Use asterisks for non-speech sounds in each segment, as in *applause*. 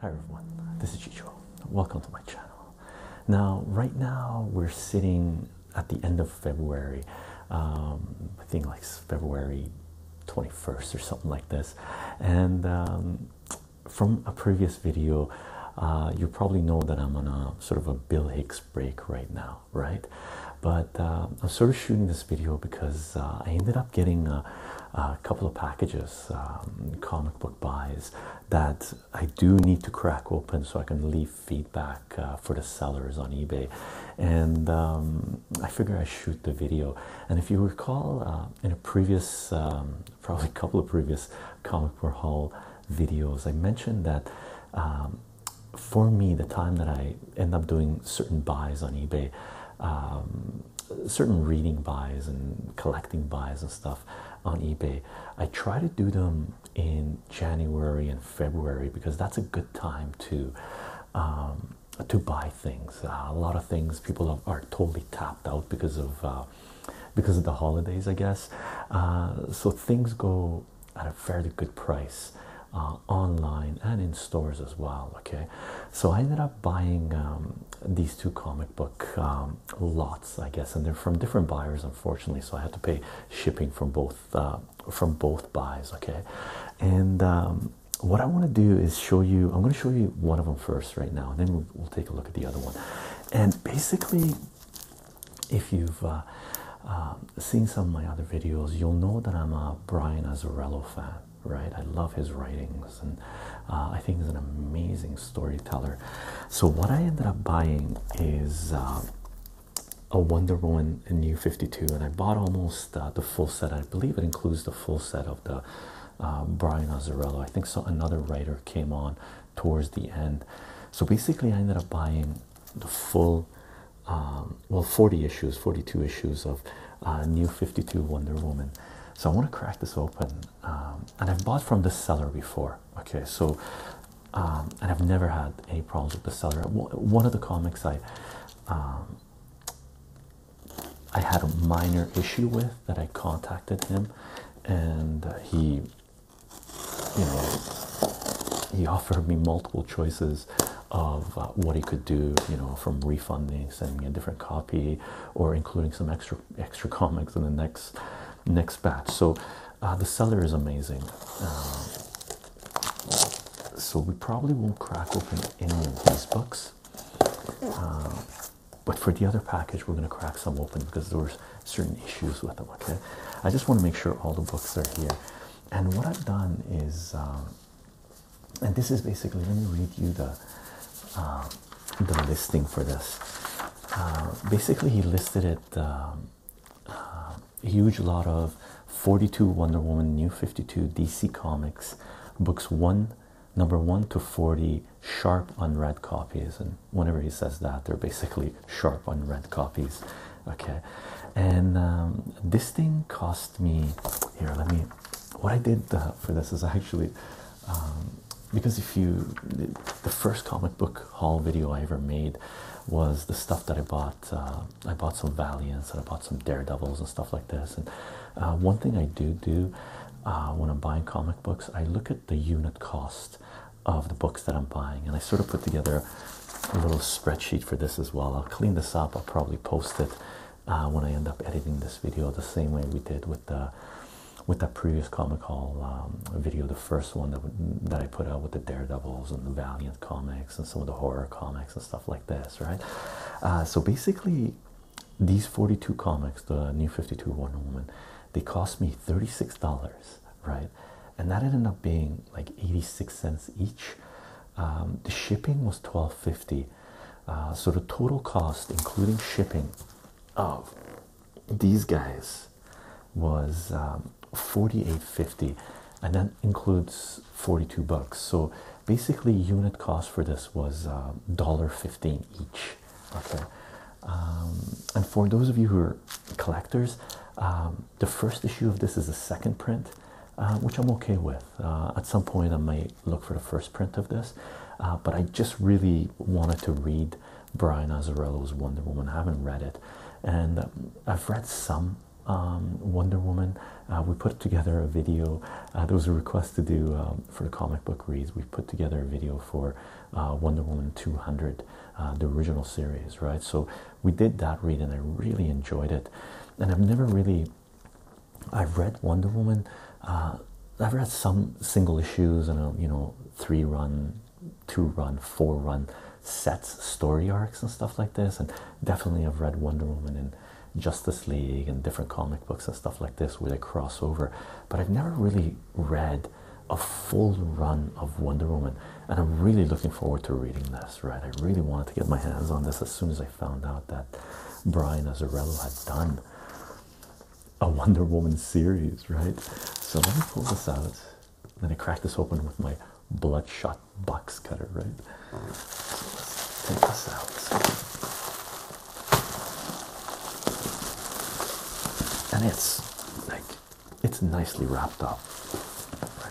Hi everyone, this is Chicho. Welcome to my channel. Now, right now we're sitting at the end of February. Um, I think like February 21st or something like this. And um, from a previous video, uh, you probably know that I'm on a sort of a Bill Hicks break right now, right? But uh, I'm sort of shooting this video because uh, I ended up getting a, couple of packages, um, comic book buys that I do need to crack open so I can leave feedback uh, for the sellers on eBay. And um, I figure I shoot the video. And if you recall, in a previous, um, *laughs* probably a couple of previous comic book haul videos, I mentioned that for me, the time that I end up doing certain buys on eBay, um, certain reading buys and collecting buys and stuff on eBay, I try to do them in January and February because that's a good time to um, to buy things. Uh, a lot of things people are totally tapped out because of uh, because of the holidays, I guess. Uh, so things go at a fairly good price uh, online and in stores as well. Okay, so I ended up buying um, these two comic book um, lots, I guess, and they're from different buyers, unfortunately. So I had to pay shipping from both uh, from both buys. Okay, and um, what I want to do is show you. I'm going to show you one of them first right now, and then we'll, take a look at the other one. And basically, if you've uh, um, seeing some of my other videos, you'll know that I'm a Brian Azzarello fan, right? I love his writings, and uh, I think he's an amazing storyteller. So what I ended up buying is uh, a Wonder Woman in New Fifty Two, and I bought almost uh, the full set. I believe it includes the full set of the Brian Azzarello. I think so. Another writer came on towards the end. So basically, I ended up buying the full um, well, 40 issues, 42 issues of uh, New 52 Wonder Woman. So I want to crack this open, um, and I've bought from the seller before. Okay, so um, and I've never had any problems with the seller. One of the comics I I had a minor issue with that I contacted him, and uh, he, you know, he offered me multiple choices of uh, what he could do, you know, from refunding, sending a different copy, or including some extra extra comics in the next next batch. So uh, the seller is amazing. Um, so we probably won't crack open any of these books, um, but for the other package, we're going to crack some open because there were certain issues with them. Okay, I just want to make sure all the books are here. And what I've done is, um, and this is basically, let me read you the um, the listing for this. Uh, basically, he listed it a um, uh, huge lot of 42 Wonder Woman, New 52 DC Comics books one, number one to 40 sharp unread copies, and whenever he says that, they're basically sharp unread copies okay and um, this thing cost me here let me what i did uh, for this is actually um, because if you the, first comic book haul video i ever made was the stuff that i bought uh, i bought some valiants and i bought some daredevils and stuff like this and uh, one thing i do do when i'm buying comic books i look at the unit cost of the books that i'm buying and i sort of put together a little spreadsheet for this as well. I'll clean this up. I'll probably post it uh, when I end up editing this video, the same way we did with the with that previous comic haul um, video, the first one that that I put out with the Daredevils and the Valiant comics and some of the horror comics and stuff like this, right? Uh, so basically, these forty-two comics, the New Fifty Two Wonder Woman, they cost me thirty-six dollars, right? And that ended up being like eighty-six cents each. Um, the shipping was twelve fifty, uh, so the total cost, including shipping, of these guys was um, forty eight fifty, and that includes forty two bucks. So basically, unit cost for this was um, dollar fifteen each. Okay, um, and for those of you who are collectors, the first issue of this is a second print. Uh, which I'm okay with. Uh, at some point, I might look for the first print of this, uh, but I just really wanted to read Brian Azzarello's Wonder Woman. I haven't read it, and um, I've read some um, Wonder Woman. we put together a video. there was a request to do um, for the comic book reads. We put together a video for Wonder Woman 200, the original series, right? So we did that read and I really enjoyed it. And I've never really, I've read Wonder Woman, uh, I've read some single issues and you know, three run, two run, four run sets, story arcs, and stuff like this. And definitely, I've read Wonder Woman and Justice League and different comic books and stuff like this where they cross over. But I've never really read a full run of Wonder Woman and I'm really looking forward to reading this. Right, I really wanted to get my hands on this as soon as I found out that Brian Azzarello had done a Wonder Woman series. Right, so let me pull this out. Then I crack this open with my bloodshot box cutter. Right, so let's take this out, and it's like it's nicely wrapped up.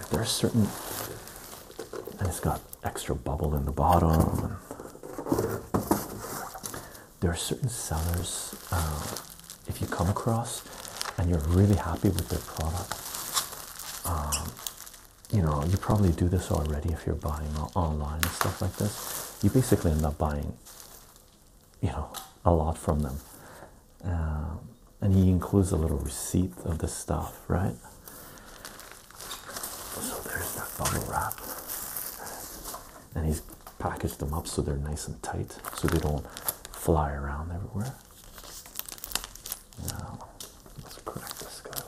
there are certain and it's got extra bubble in the bottom. There are certain sellers, um, if you come across and you're really happy with their product, um, you know, you probably do this already if you're buying online and stuff like this. You basically end up buying, you know, a lot from them. Um, and he includes a little receipt of the stuff, right? So there's that bubble wrap, and he's packaged them up so they're nice and tight, so they don't fly around everywhere. Now, let's crack this guy.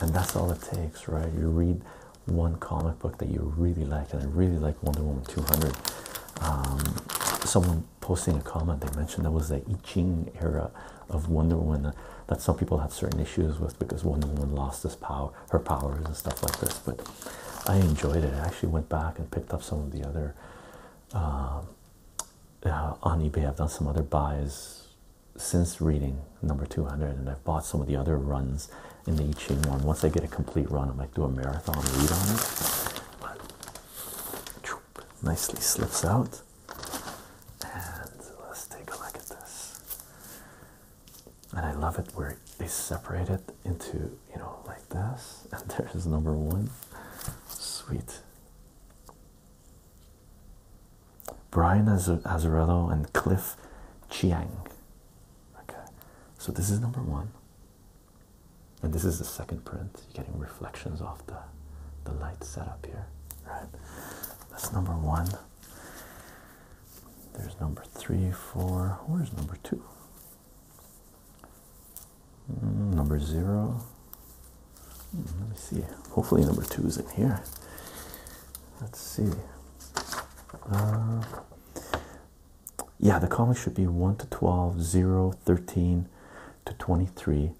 And that's all it takes, right? You read one comic book that you really like, and I really like Wonder Woman 200. Um, someone posting a comment, they mentioned that was the I Ching era of Wonder Woman uh, that some people have certain issues with because Wonder Woman lost his power, her powers, and stuff like this. But I enjoyed it. I actually went back and picked up some of the other uh, uh, on eBay. I've done some other buys since reading number 200 and I've bought some of the other runs in the I Ching one. Once I get a complete run, I might do a marathon read on it. nicely slips out. And let's take a look at this. And I love it where they separate it into, you know, like this. *laughs* And there's number one. Sweet. Brian Azzarello and Cliff Chiang. Okay, so this is number one, and this is the second print. You're getting reflections off the the light setup here, right? That's number one. There's number three, four. Where's number two? Mm, number zero. Mm, let me see. Hopefully, number two is in here let's see. Uh, yeah, the columns should be 1 to 12, 0, 13 to 23,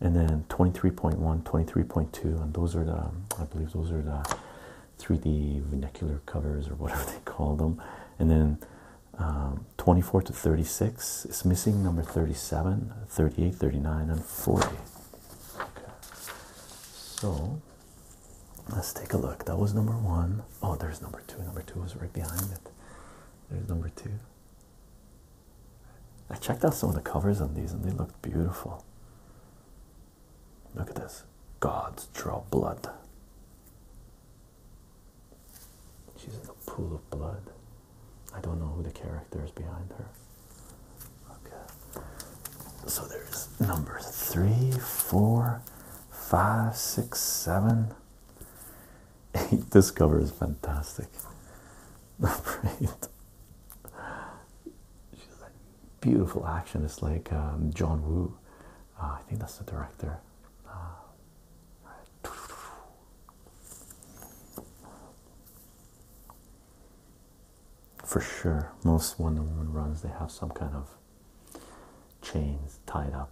and then 23.1, 23.2, and those are the, I believe those are the 3D vernacular covers or whatever *laughs* they call them. And then um, 24 to 36, it's missing number 37, 38, 39, and 40. Okay. So let's take a look. That was number one. Oh, there's number two. Number two was right behind it. There's number two. I checked out some of the covers on these and they looked beautiful. Look at this. Gods draw blood. She's in a pool of blood. I don't know who the character is behind her. Okay. So there's number three, four, five, six, seven, eight. *laughs* This cover is fantastic. Number *laughs* eight. Beautiful action. It's like um, John Woo. Uh, I think that's the director. Uh, for sure. Most Wonder Woman runs, they have some kind of chains tied up,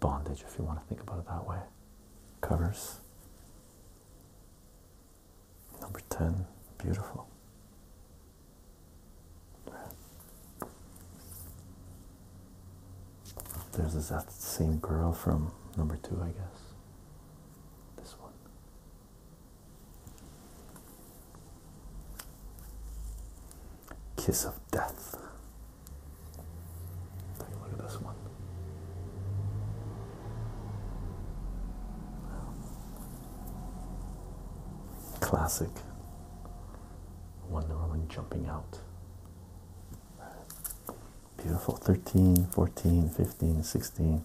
bondage, if you want to think about it that way. Covers. Number 10, beautiful. There's this, that same girl from number two, I guess. This one. Kiss of Death. Take a look at this one. Classic Wonder Woman jumping out. Beautiful 13, 14, 15, 16,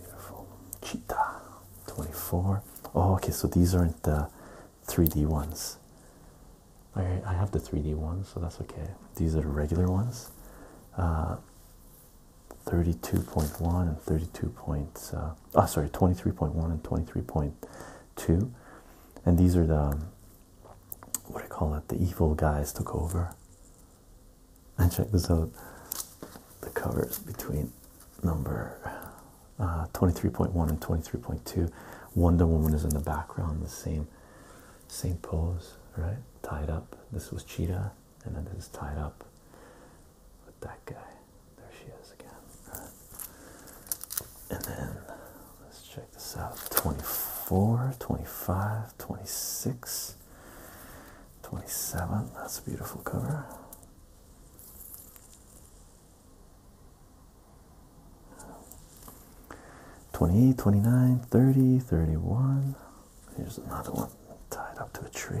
Beautiful. Cheetah 24. Oh, okay, so these aren't the 3D ones. I, I have the 3D ones, so that's okay. These are the regular ones. Uh, 32.1 and 32. Point, uh, oh, sorry, 23.1 and 23.2. And these are the, um, what do you call it? The evil guys took over. And check this out the covers between number uh, 23.1 and 23.2. Wonder Woman is in the background, the same, same pose, right? Tied up. This was Cheetah, and then this is tied up with that guy. There she is again. And then let's check this out 24, 25, 26. 27. That's a beautiful cover. Twenty-eight, twenty-nine, thirty, thirty-one. Here's another one tied up to a tree.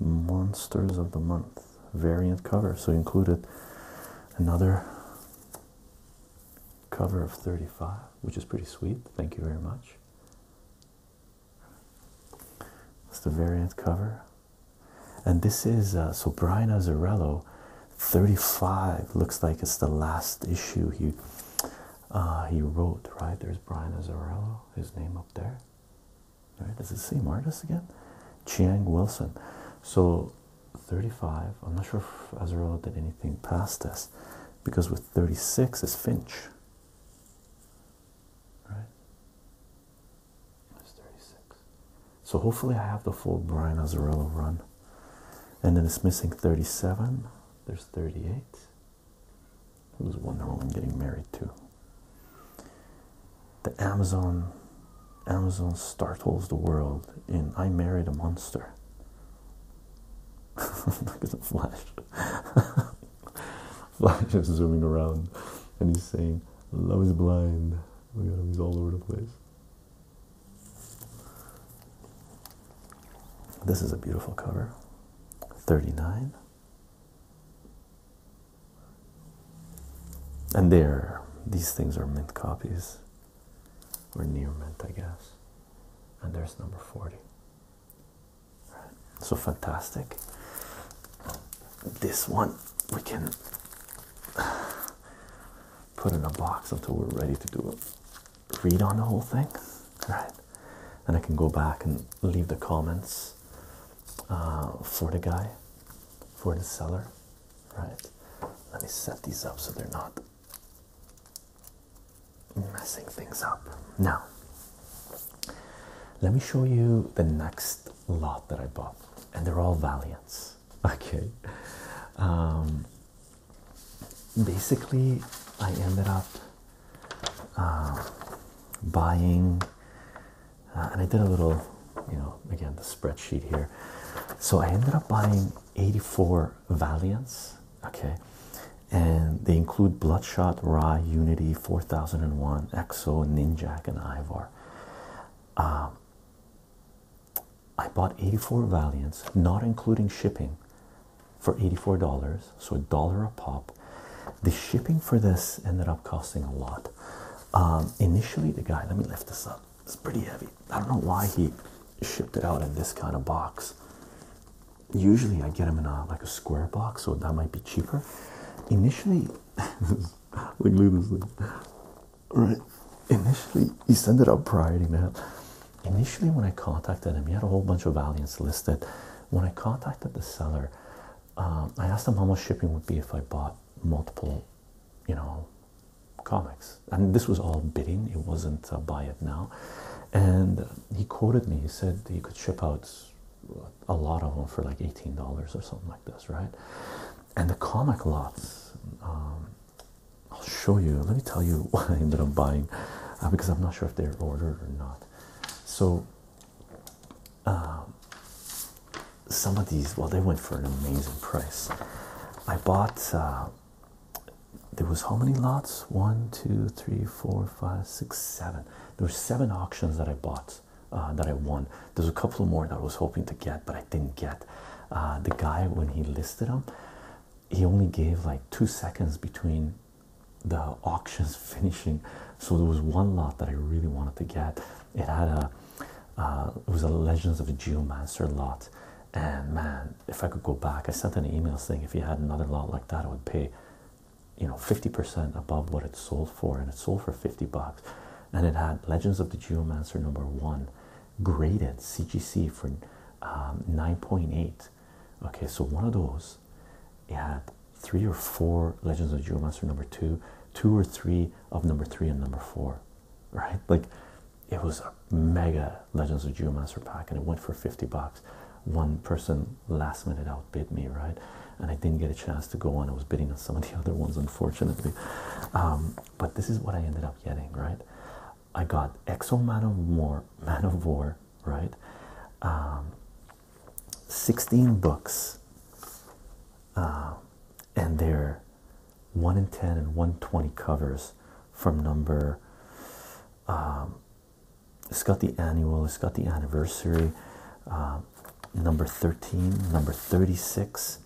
Monsters of the Month variant cover. So he included another cover of 35, which is pretty sweet. Thank you very much. It's the variant cover. And this is, uh, so Brian Azzarello, 35, looks like it's the last issue he uh, he wrote, right? There's Brian Azzarello, his name up there. Does it the same again? Chiang Wilson. So 35, I'm not sure if Azrael did anything past this because with 36 is Finch. Right? It's 36. So hopefully I have the full Brian Azarello run. And then it's missing 37. There's 38. Who's Wonder Woman getting married to? the Amazon Amazon startles the world in I Married a Monster. *laughs* Look at the Flash. *laughs* Flash is zooming around and he's saying, Love is blind. he's all over the place. This is a beautiful cover. 39. And there, these things are mint copies, or near mint, I guess. And there's number 40. So fantastic. This one we can put in a box until we're ready to do it. read on the whole thing, right? And I can go back and leave the comments uh, for the guy for the seller, right? Let me set these up so they're not messing things up. Now, let me show you the next lot that I bought, and they're all Valiants. *laughs* Okay. Um, basically, I ended up uh, buying uh, and I did a little, you know, again the spreadsheet here. So I ended up buying 84 Valiants, okay, and they include Bloodshot, Rai, Unity, 4001, Exo, Ninjak, and Ivar. Um, I bought 84 Valiants, not including shipping, for $84, so a dollar a pop. The shipping for this ended up costing a lot. Um, initially, the guy, let me lift this up, it's pretty heavy. I don't know why he shipped it out in this kind of box. Usually, I get them in a like a square box, so that might be cheaper. Initially, *laughs* right? Initially, he sent it out priority mail. Initially, when I contacted him, he had a whole bunch of Valiants listed. When I contacted the seller, um, I asked him how much shipping would be if I bought multiple you know, comics. And this was all bidding, it wasn't uh, buy it now. And he quoted me, he said he could ship out a lot of them for like $18 or something like this, right? And the comic lots, um, I'll show you. Let me tell you *laughs* what I ended up buying uh, because I'm not sure if they're ordered or not. So, um, some of these, well, they went for an amazing price. I bought, uh, there was how many lots? One, two, three, four, five, six, seven. There were seven auctions that I bought, uh, that I won. There's a couple more that I was hoping to get, but I didn't get. Uh, the guy, when he listed them, he only gave like two seconds between the auctions *laughs* finishing. So there was one lot that I really wanted to get. It had a uh, it was a Legends of the Geomancer lot. And man, if I could go back, I sent an email saying if you had another lot like that, I would pay, you know, 50% above what it sold for, and it sold for 50 bucks. And it had Legends of the Geomancer number one graded CGC for um, 9.8. Okay, so one of those, it had three or four Legends of the Geomancer number two, two or three of number three and number four, right? Like it was a mega Legends of Geomancer pack and it went for 50 bucks. One person last minute outbid me, right? And I didn't get a chance to go on. I was bidding on some of the *laughs* other ones, unfortunately. Um, but this is what I ended up getting, right? I got Exo Man of War, *laughs* Man of War, right? Um, 16 books, uh, and they're 1 in 10 and 120 covers from number um, it's got the annual it's got the anniversary um, number 13 number 36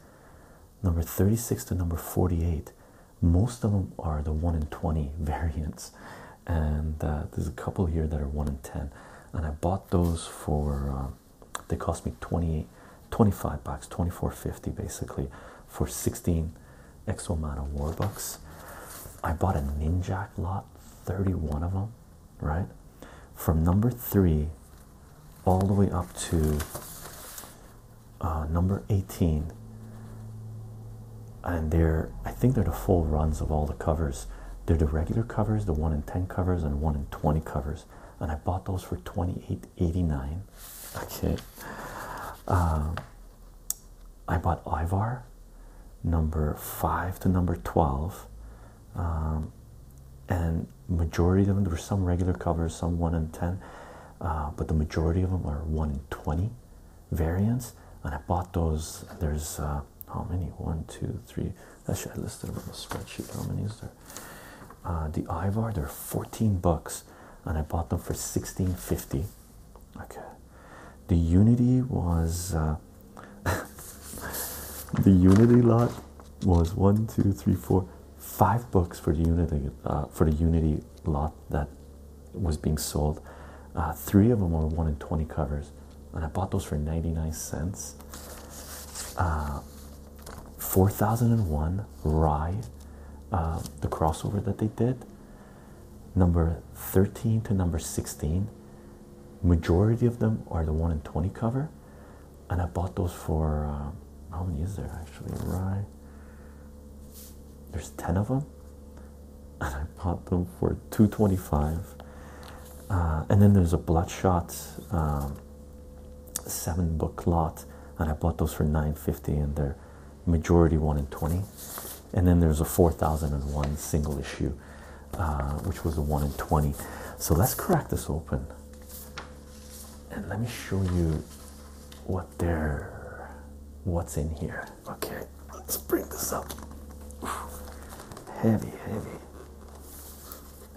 number 36 to number 48 most of them are the 1 in 20 *laughs* variants and uh, there's a couple here that are 1 in 10 and i bought those for um, they cost me 28, 25 bucks, 24.50 basically for 16 Exomana War Bucks. I bought a Ninjak lot, 31 of them, right? From number three all the way up to uh, number 18. And they're, I think they're the full runs of all the covers. They're the regular covers, the 1 in 10 covers, and 1 in 20 covers and I bought those for twenty eight eighty nine. Okay. Um, I bought Ivar number 5 to number 12. Um, and majority of them, there were some regular covers, some 1 in 10, uh, but the majority of them are 1 in 20 variants. And I bought those. There's uh, how many? One, two, three. Actually, I listed them on the spreadsheet. How many is there? Uh, the Ivar, they're 14 bucks, and I bought them for 16.50. Okay, the Unity was uh, *laughs* the Unity lot was one, two, three, four, five bucks for the Unity uh, for the Unity lot that was being sold. three of them were one in 20 covers, and I bought those for 99 cents. 4001 rye, uh, the crossover that they did, number 13 to number 16. Majority of them are the 1 in 20 cover, and I bought those for uh, how many is there actually? rye? there's 10 of them, *laughs* and I bought them for 225. Uh, and then there's a bloodshot um, seven book lot, and I bought those for 950 and they're majority one in 20. And then there's a 4001 single issue, uh, which was a one in 20. So let's crack this open and let me show you what there, what's in here. Okay, let's bring this up. Heavy, heavy.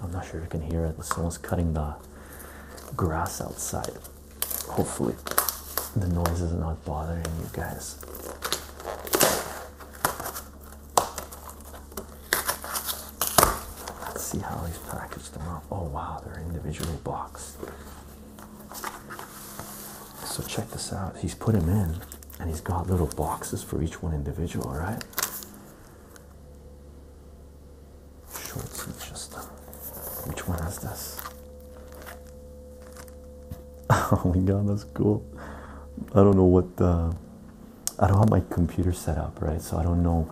I'm not sure if you can hear it, someone's cutting the grass outside. Hopefully, the noise is not bothering you guys. Let's see how he's packaged them up. Oh, wow, they're individually boxed. So, check this out. He's put them in, and he's got little boxes for each one individual, right? Shorts, teacher stuff. Um, which one is this? *laughs* Oh my god, that's cool. I don't know what I don't have my computer set up, right? So I don't know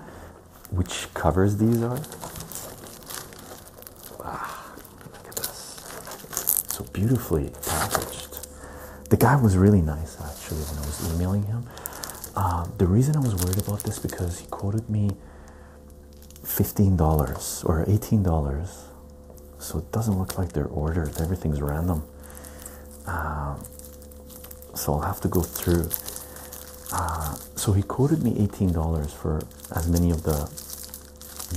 which covers these are. Ah, look at this. So beautifully packaged. The guy was really nice actually when I was emailing him. Um, the reason I was worried about this because he quoted me $15 or $18, so it doesn't look like they're ordered, everything's random. Um, so I'll have to go through. Uh, so he quoted me $18 for as many of the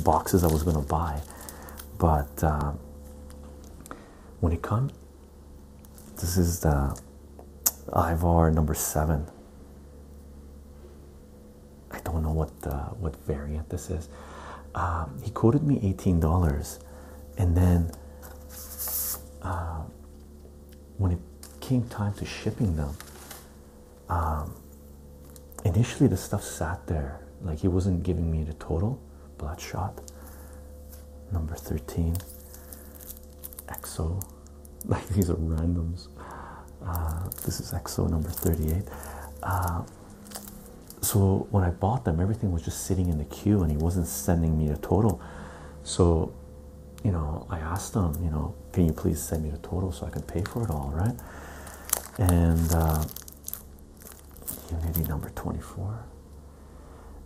boxes I was going to buy, but uh, when it comes this is the Ivar number seven. I don't know what what variant this is. Um, he quoted me eighteen dollars, and then um, when it came time to shipping them, um, initially the stuff sat there. Like he wasn't giving me the total. Bloodshot number thirteen. EXO. *laughs* Like these are randoms. Uh, this is EXO number 38. Uh, so when I bought them, everything was just sitting in the queue, and he wasn't sending me the total. So, you know, I asked him, you know, can you please send me the total so I can pay for it all, right? And uh, Unity number 24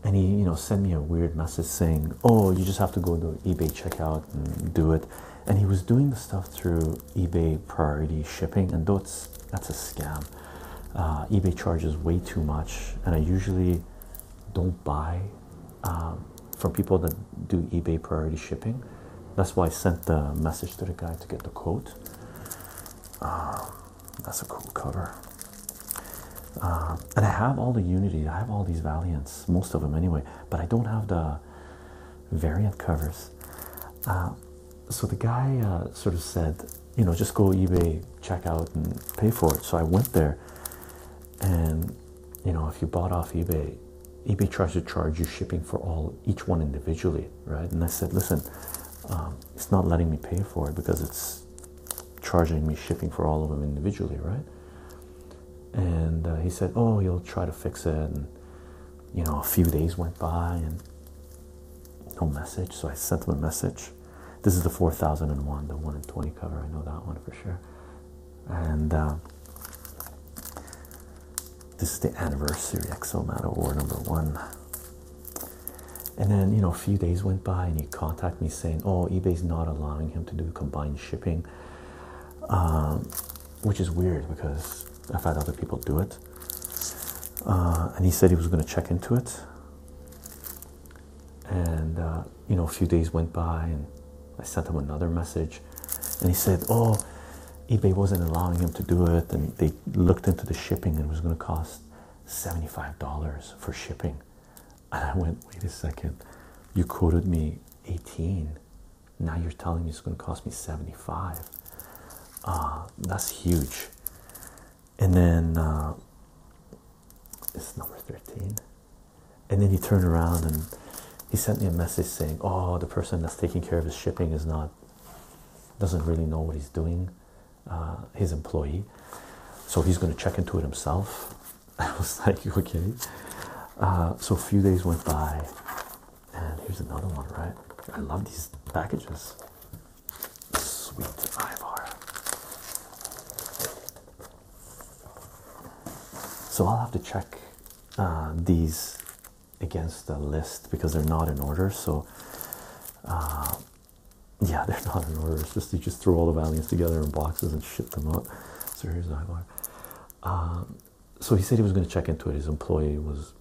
and he you know sent me a weird message saying oh you just have to go to ebay checkout and do it and he was doing the stuff through ebay priority shipping and though that's a scam uh, ebay charges way too much and i usually don't buy um, from people that do ebay priority shipping that's why i sent the message to the guy to get the quote um, that's a cool cover uh, and I have all the Unity, I have all these Valiants, most of them anyway, but I don't have the variant covers. Uh, so the guy uh, sort of said, you know, just go eBay, check out, and pay for it. So I went there, and you know, if you bought off eBay, eBay tries to charge you shipping for all each one individually, right? And I said, listen, um, it's not letting me pay for it because it's charging me shipping for all of them individually, right? And uh, he said, "Oh, you'll try to fix it." And you know, a few days went by and no message. So I sent him a message. This is the 4001, the 1 in 20 cover. I know that one for sure. And uh, this is the anniversary XO Matter War number one. And then, you know, a few days went by and you contact me saying, "Oh, eBay's not allowing him to do combined shipping," um, which is weird because I've had other people do it. Uh, and he said he was going to check into it, and uh, you know, a few days went by, and I sent him another message, and he said, "Oh." eBay wasn't allowing him to do it, and they looked into the shipping, and it was going to cost $75 for shipping. And I went, wait a second, you quoted me 18. Now you're telling me it's going to cost me 75. Uh, that's huge. And then uh, it's number 13. And then he turned around and he sent me a message saying, Oh, the person that's taking care of his shipping is not, doesn't really know what he's doing, uh, his employee. So he's going to check into it himself. I was *laughs* like, okay. Uh, so a few days went by, and here's another one, right? I love these packages. Sweet Ivar. So I'll have to check uh, these against the list because they're not in order. So uh, yeah, they're not in order. It's just you just throw all the volumes together in boxes and ship them out. So here's Ivar. Um, so he said he was going to check into it. His employee was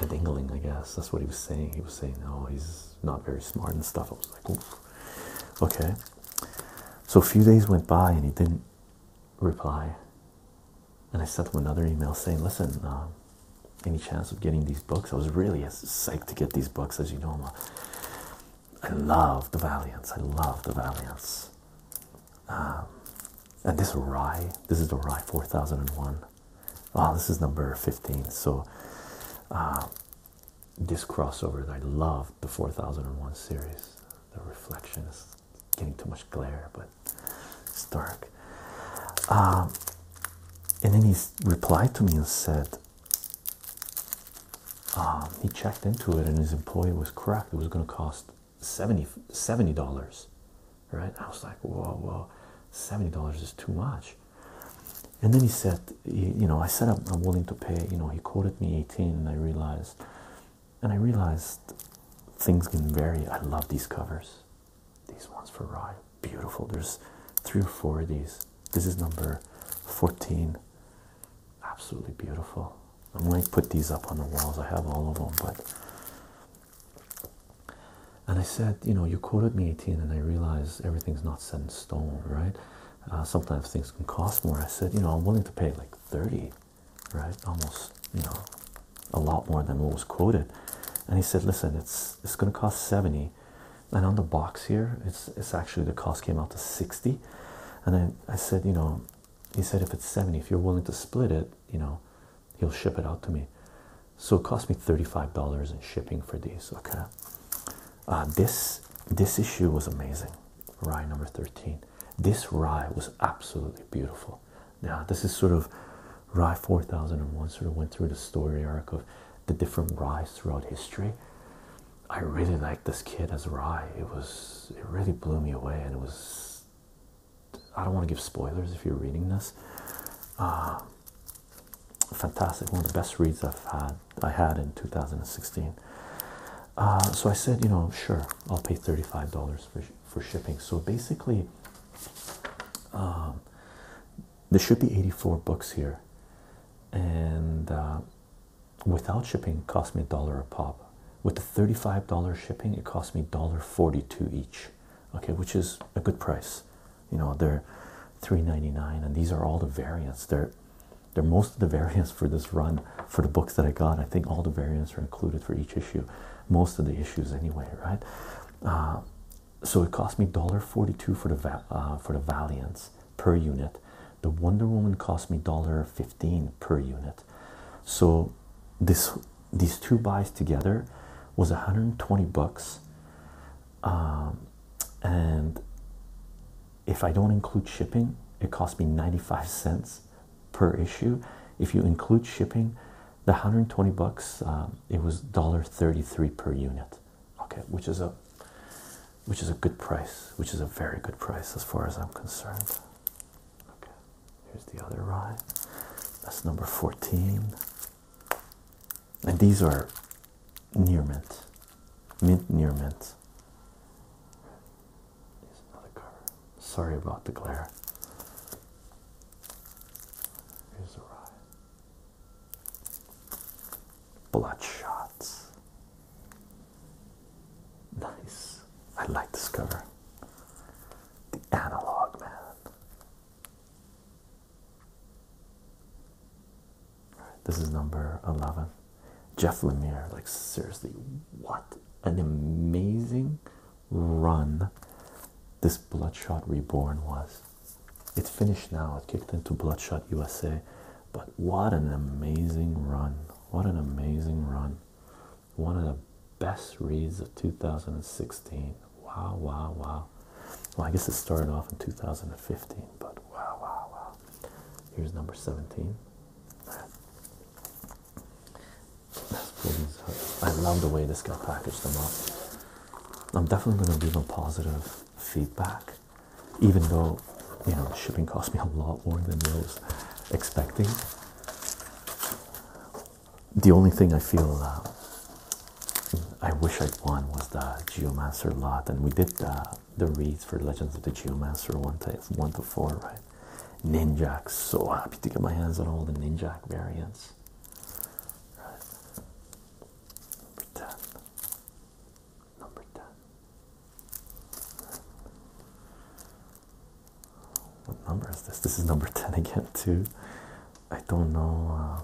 a dingling, I guess. That's what he was saying. He was saying, "Oh, he's not very smart and stuff." I was like, Oof. "Okay." So a few days went by and he didn't reply. And I sent him another email saying, "Listen, um, any chance of getting these books? I was really psyched to get these books, as you know, I love the Valiants. I love the Valiants. Um, and this Rye, this is the Rye 4001. Oh, this is number 15. So, um, this crossover, I love the 4001 series. The reflection is getting too much glare, but it's dark. Um, and then he replied to me and said, um, he checked into it and his employee was correct. It was going to cost 70 dollars, right? I was like, whoa, whoa, seventy dollars is too much. And then he said, you know, I said I'm, willing to pay. You know, he quoted me eighteen, and I realized, and I realized things can vary. I love these covers. These ones for Rye, beautiful. There's three or four of these. This is number 14. Absolutely beautiful. I'm going to put these up on the walls. I have all of them, but. And I said, you know, you quoted me 18, and I realize everything's not set in stone, right? Uh, sometimes things can cost more. I said, you know, I'm willing to pay like 30, right? Almost, you know, a lot more than what was quoted. And he said, listen, it's it's going to cost 70 and on the box here it's actually the cost came out to 60 and then I, said you know he said if it's 70 if you're willing to split it you know he'll ship it out to me so it cost me $35 in shipping for these okay uh, this this issue was amazing rye number 13 this rye was absolutely beautiful now this is sort of rye 4001 sort of went through the story arc of the different ryes throughout history I really liked this kid as Rye. It was it really blew me away, and it was I don't want to give spoilers if you're reading this. Uh, fantastic, one of the best reads I've had I had in 2016. Uh, so I said, you know, sure, I'll pay thirty-five dollars for for shipping. So basically, um, there should be eighty-four books here, and uh, without shipping cost me a dollar a pop with the $35 shipping it cost me $1.42 each okay which is a good price you know they're $3.99 and these are all the variants they're they're most of the *laughs* variants for this run for the books that I got I think all the variants are included for each issue most of the issues anyway right uh, so it cost me $1.42 for the uh, for the Valiants per unit the Wonder Woman cost me $1.15 per unit. So this these two buys together was 120 bucks. Um, and if I don't include shipping, it cost me 95 cents per issue. If you include shipping, the 120 bucks, um, it was $1.33 per unit okay which is a which is a good price which is a very good price as far as i'm concerned okay here's the other ride. that's number 14 and these are near mint mint near mint here's another cover sorry about the glare here's the rye Blood shots. Nice. I like this cover. The analog man. This is number 11. Jeff Lemire, like, seriously, what an amazing run this Bloodshot Reborn was. It finished now, it kicked into Bloodshot USA, but what an amazing run! What an amazing run! One of the best reads of 2016. Wow, wow, wow. Well, I guess it started off in 2015, but wow, wow, wow. Here's number 17. I love the way this guy packaged them up. I'm definitely going to give a positive feedback even though you know shipping cost me a lot more than I was expecting. The only thing I feel uh, I wish I'd won was the Geomancer lot, and we did the, reads for Legends of the Geomancer one to one to four, right? Ninjak, so happy to get my hands on all the Ninjak variants. Right. Pretend number 10. What number is this? This is number 10 again, too. I don't know. Uh,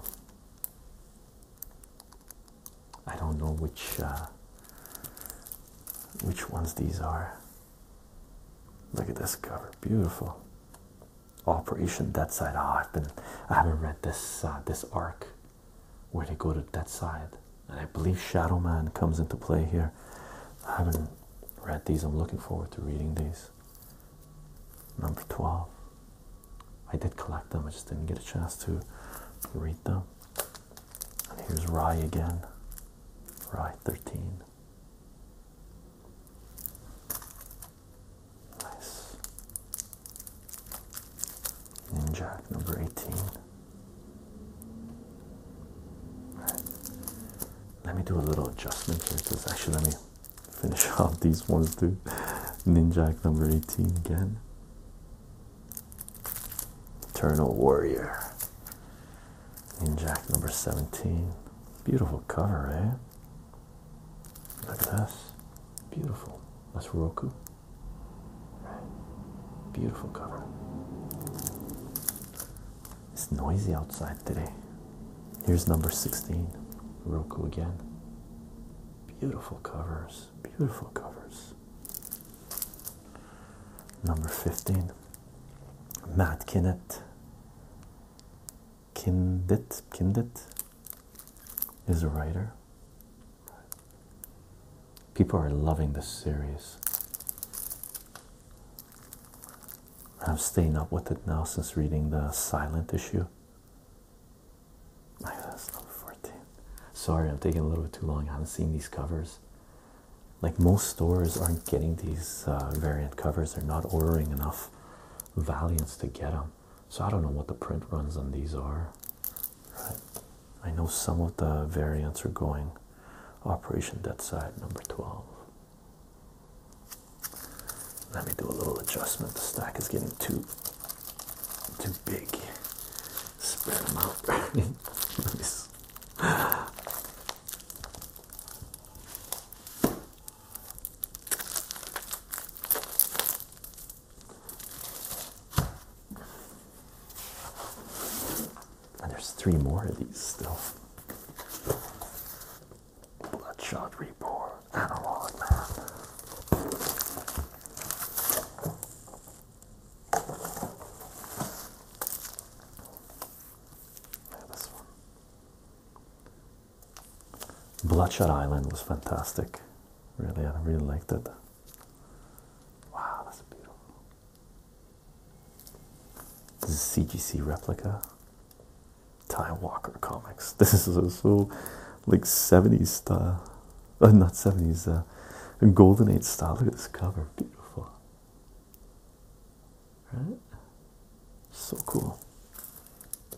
I don't know which uh, which ones these are. Look at this cover, beautiful. Operation Deadside. Ah, oh, I've been I haven't read this uh, this arc where they go to that side. And I believe Shadow Man comes into play here. I haven't read these. I'm looking forward to reading these. Number 12. I did collect them. I just didn't get a chance to read them. And here's Rye again. Rye 13. Nice and number 18. Let me do a little adjustment here because actually let me finish *laughs* off these ones too. Ninjak number 18 again. Eternal Warrior. Ninjak number 17. Beautiful cover, eh? Look at this. Beautiful. That's Roku. Beautiful cover. It's noisy outside today. Here's number 16, Roku again. Beautiful covers, beautiful covers. Number 15, Matt Kinnett. Kindit, Kindit is a writer. People are loving this series. I'm staying up with it now since reading the silent issue. That's number 14. Sorry, I'm taking a little bit too long. I haven't seen these covers. Like most stores aren't getting these uh, variant covers, they're not ordering enough Valiants to get them. So I don't know what the print runs on these are. I know some of the variants are going Operation Dead Side number 12. Let me do a little adjustment. The stack is getting too too big. Spread them out. *laughs* And there's three more of these still. Bloodshot Reborn, Analog Man. Yeah, this one. Bloodshot Island was fantastic. Really, I really liked it. Wow, that's beautiful. This is CGC replica. Ty Walker comics. *laughs* This is so, so like 70s style. Uh, not 70s, uh, Golden Age style. Look at this cover. Beautiful. Right? So cool.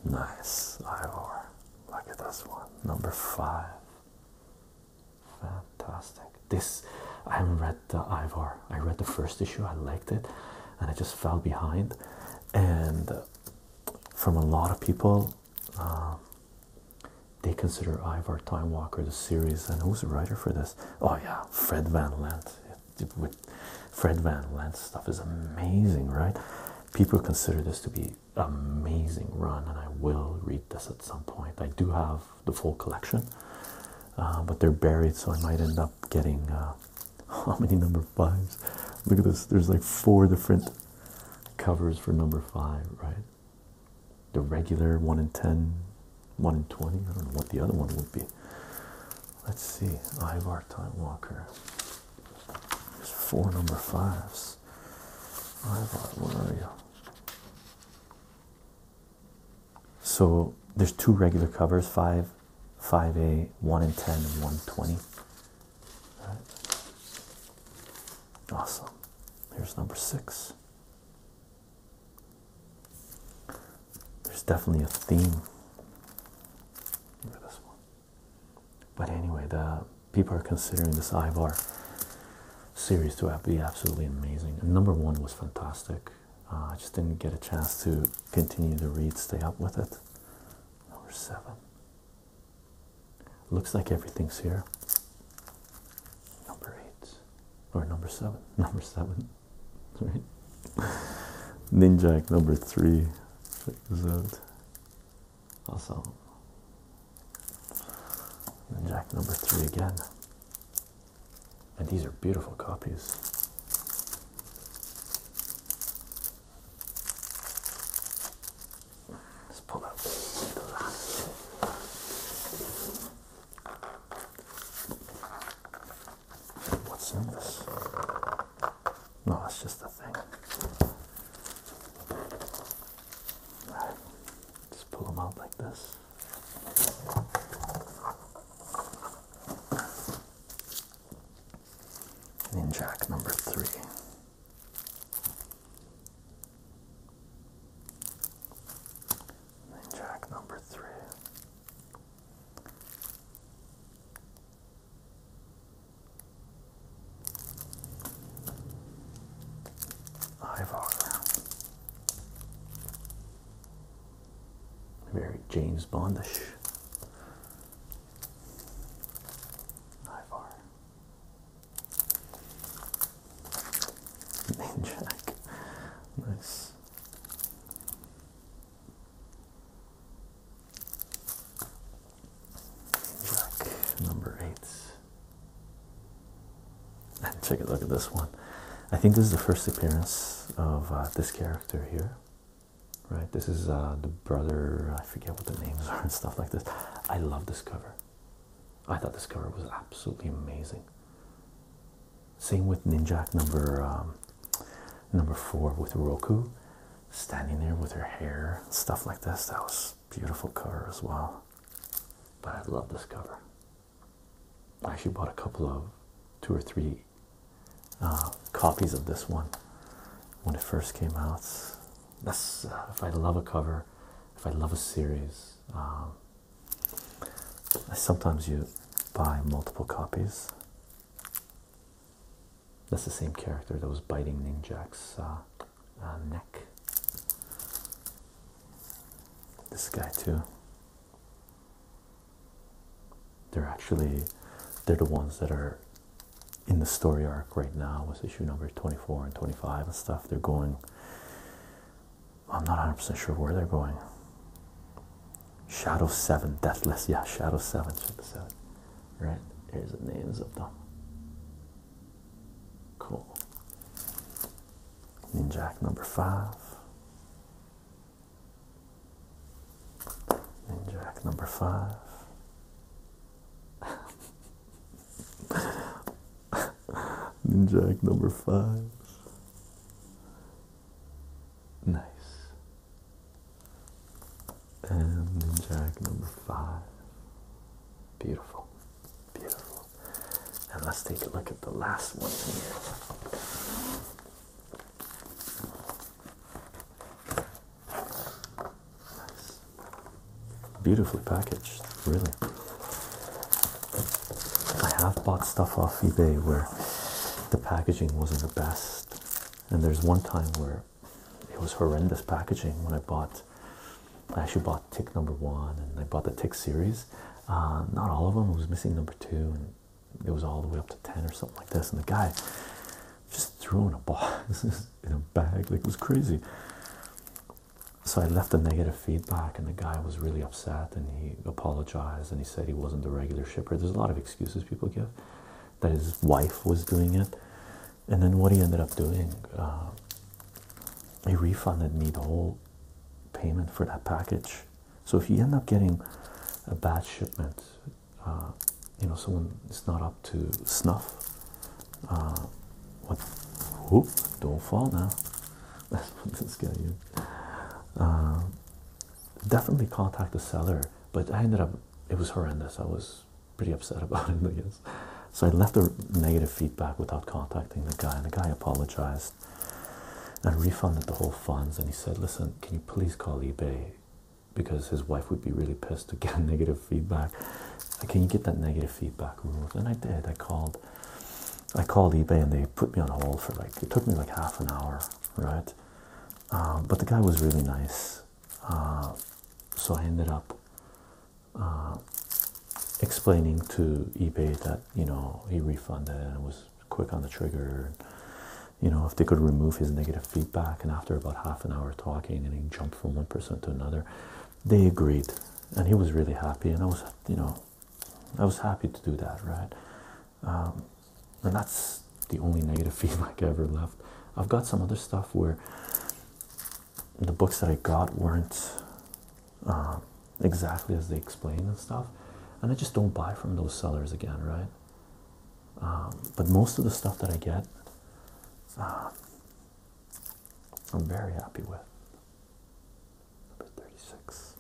Nice. Ivor. Look at this one. Number five. Fantastic. This I haven't read the Ivar. I read the first issue, I liked it, and I just fell behind. And from a lot of people, um, they consider Ivar Time Walker the series. And who's the writer for this? Oh, yeah, Fred Van Lent. Fred Van Lent stuff is amazing, right? People consider this to be amazing run, and I will read this at some point. I do have the full collection, uh, but they're buried, so I might end up getting uh, *laughs* how many number fives? Look at this, there's like four different covers for number five, right? The regular one in ten, one one in 20. I don't know what the other one would be. Let's see, Ivar Time Walker. There's four number fives. Ivar, where are you? So there's two regular covers, 5, 5A, 1 in 10 and 120. Right. Awesome. Here's number 6. There's definitely a theme. Look at this one. But anyway, the people are considering this Ivar series to be absolutely amazing. number one was fantastic. Uh, I just didn't get a chance to continue to read, stay up with it. Number seven. Looks like everything's here. Number eight. Or number seven. *laughs* Number seven. Right? Ninjak number three. Check this out. Awesome jack number three again. And these are beautiful copies. Let's pull out the last. What's in this? No, it's just a thing. Right just pull them then jack number three. then jack number three. Ivar. Very James Bondish. Ivar. Manjack. Nice. Jack number eight take a look at this one. I think this is the first appearance of uh, this character here, right? This is uh, the brother, I forget what the names are *laughs* and stuff like this. I love this cover. I thought this cover was absolutely amazing. Same with Ninjak number um, number four with Roku standing there with her hair and stuff like this. That was beautiful cover as well. But I love this cover. I actually bought a couple of two or three uh, copies of this one when it first came out. That's uh, if I love a cover, if I love a series, um, sometimes you buy multiple copies. That's the same character that was biting Ning Jack's uh, neck. This guy too. They're actually they're the ones that are in the story arc right now with issue number 24 and 25 and stuff. They're going I'm not 100% sure where they're going. Shadow 7, Deathless. Yeah, Shadow 7. Check this out. Right? Here's the names of them. Cool. Ninjak number five. Ninjak number five. *laughs* Ninjak number five. Nice. And Ninjak number five. Beautiful. Beautiful. And let's take a look at the last one here. Beautifully packaged, really. I have bought stuff off eBay where the packaging wasn't the best, and there's one time where it was horrendous packaging when I bought I actually bought tick number one and I bought the tick series. Uh, not all of them, it was missing number two, and it was all the way up to 10 or something like this. And the guy just throwing a ball *laughs* in a bag, like it was crazy. So I left a negative feedback, and the guy was really upset and he apologized and he said he wasn't the regular shipper. There's a lot of excuses people give that his wife was doing it. And then what he ended up doing, uh, he refunded me the whole payment for that package. So if you end up getting a bad shipment, uh, you know someone is not up to snuff. Uh, what? Whoop! Don't fall now. Let's *laughs* put this guy is. Uh, definitely contact the seller, but I ended up. It was horrendous. I was pretty upset *laughs* about it, So I left a negative feedback without contacting the guy, and the guy apologized and refunded the whole funds and he said listen can you please call ebay because his wife would be really pissed to get *laughs* negative feedback can you get that negative feedback removed and i did i called i called ebay and they put me on hold for like it took me like half an hour right um, but the guy was really nice uh, so i ended up uh, explaining to eBay that you know he refunded and was quick on the trigger. And, you know, if they could remove his negative feedback, and after about half an hour talking, and he jumped from one person to another, they agreed, and he was really happy. And I was, you know, I was happy to do that, right? Um, and that's the only negative *laughs* feedback I ever left. I've got some other stuff where the books that I got weren't uh, exactly as they explain and stuff. And I just don't buy from those sellers again, right? Um, but most of the stuff that I get, uh, I'm very happy with. Number 36.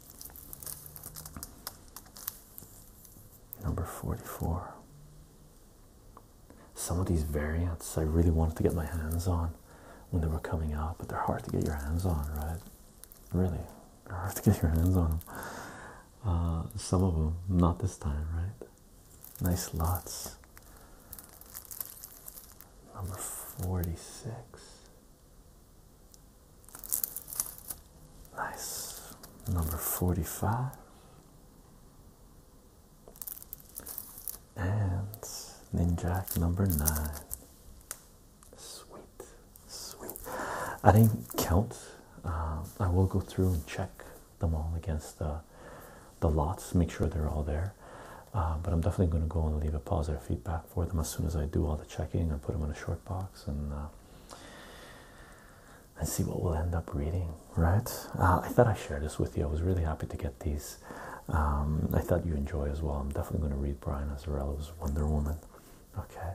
Number 44. Some of these variants I really wanted to get my hands on when they were coming out, but they're hard to get your hands on, right? Really, they're hard to get your hands on. Uh, some of them, not this time, right? Nice lots. Number 46. Nice. Number 45. And Ninjak number 9. Sweet, sweet. I didn't count. Uh, I will go through and check them all against the the lots. Make sure they're all there. Uh, but I'm definitely going to go and leave a positive feedback for them as soon as I do all the checking and put them in a short box and uh, and see what we'll end up reading. Right? I thought I shared this with you. I was really happy to get these um, I thought you enjoy as well. I'm definitely going to read Brian Azzarello's Wonder Woman. Okay,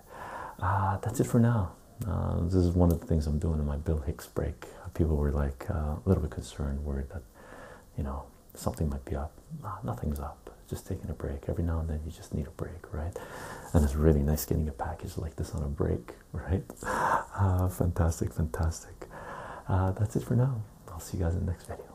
uh, that's it for now. Uh, this is one of the things I'm doing in my Bill Hicks break. People were like uh, a little bit concerned, worried that you know something might be up. nothing's up. Just taking a break. Every now and then, you just need a break, right? And it's really nice getting a package like this on a break, *laughs* right? fantastic, fantastic. that's it for now. I'll see you guys in the next video.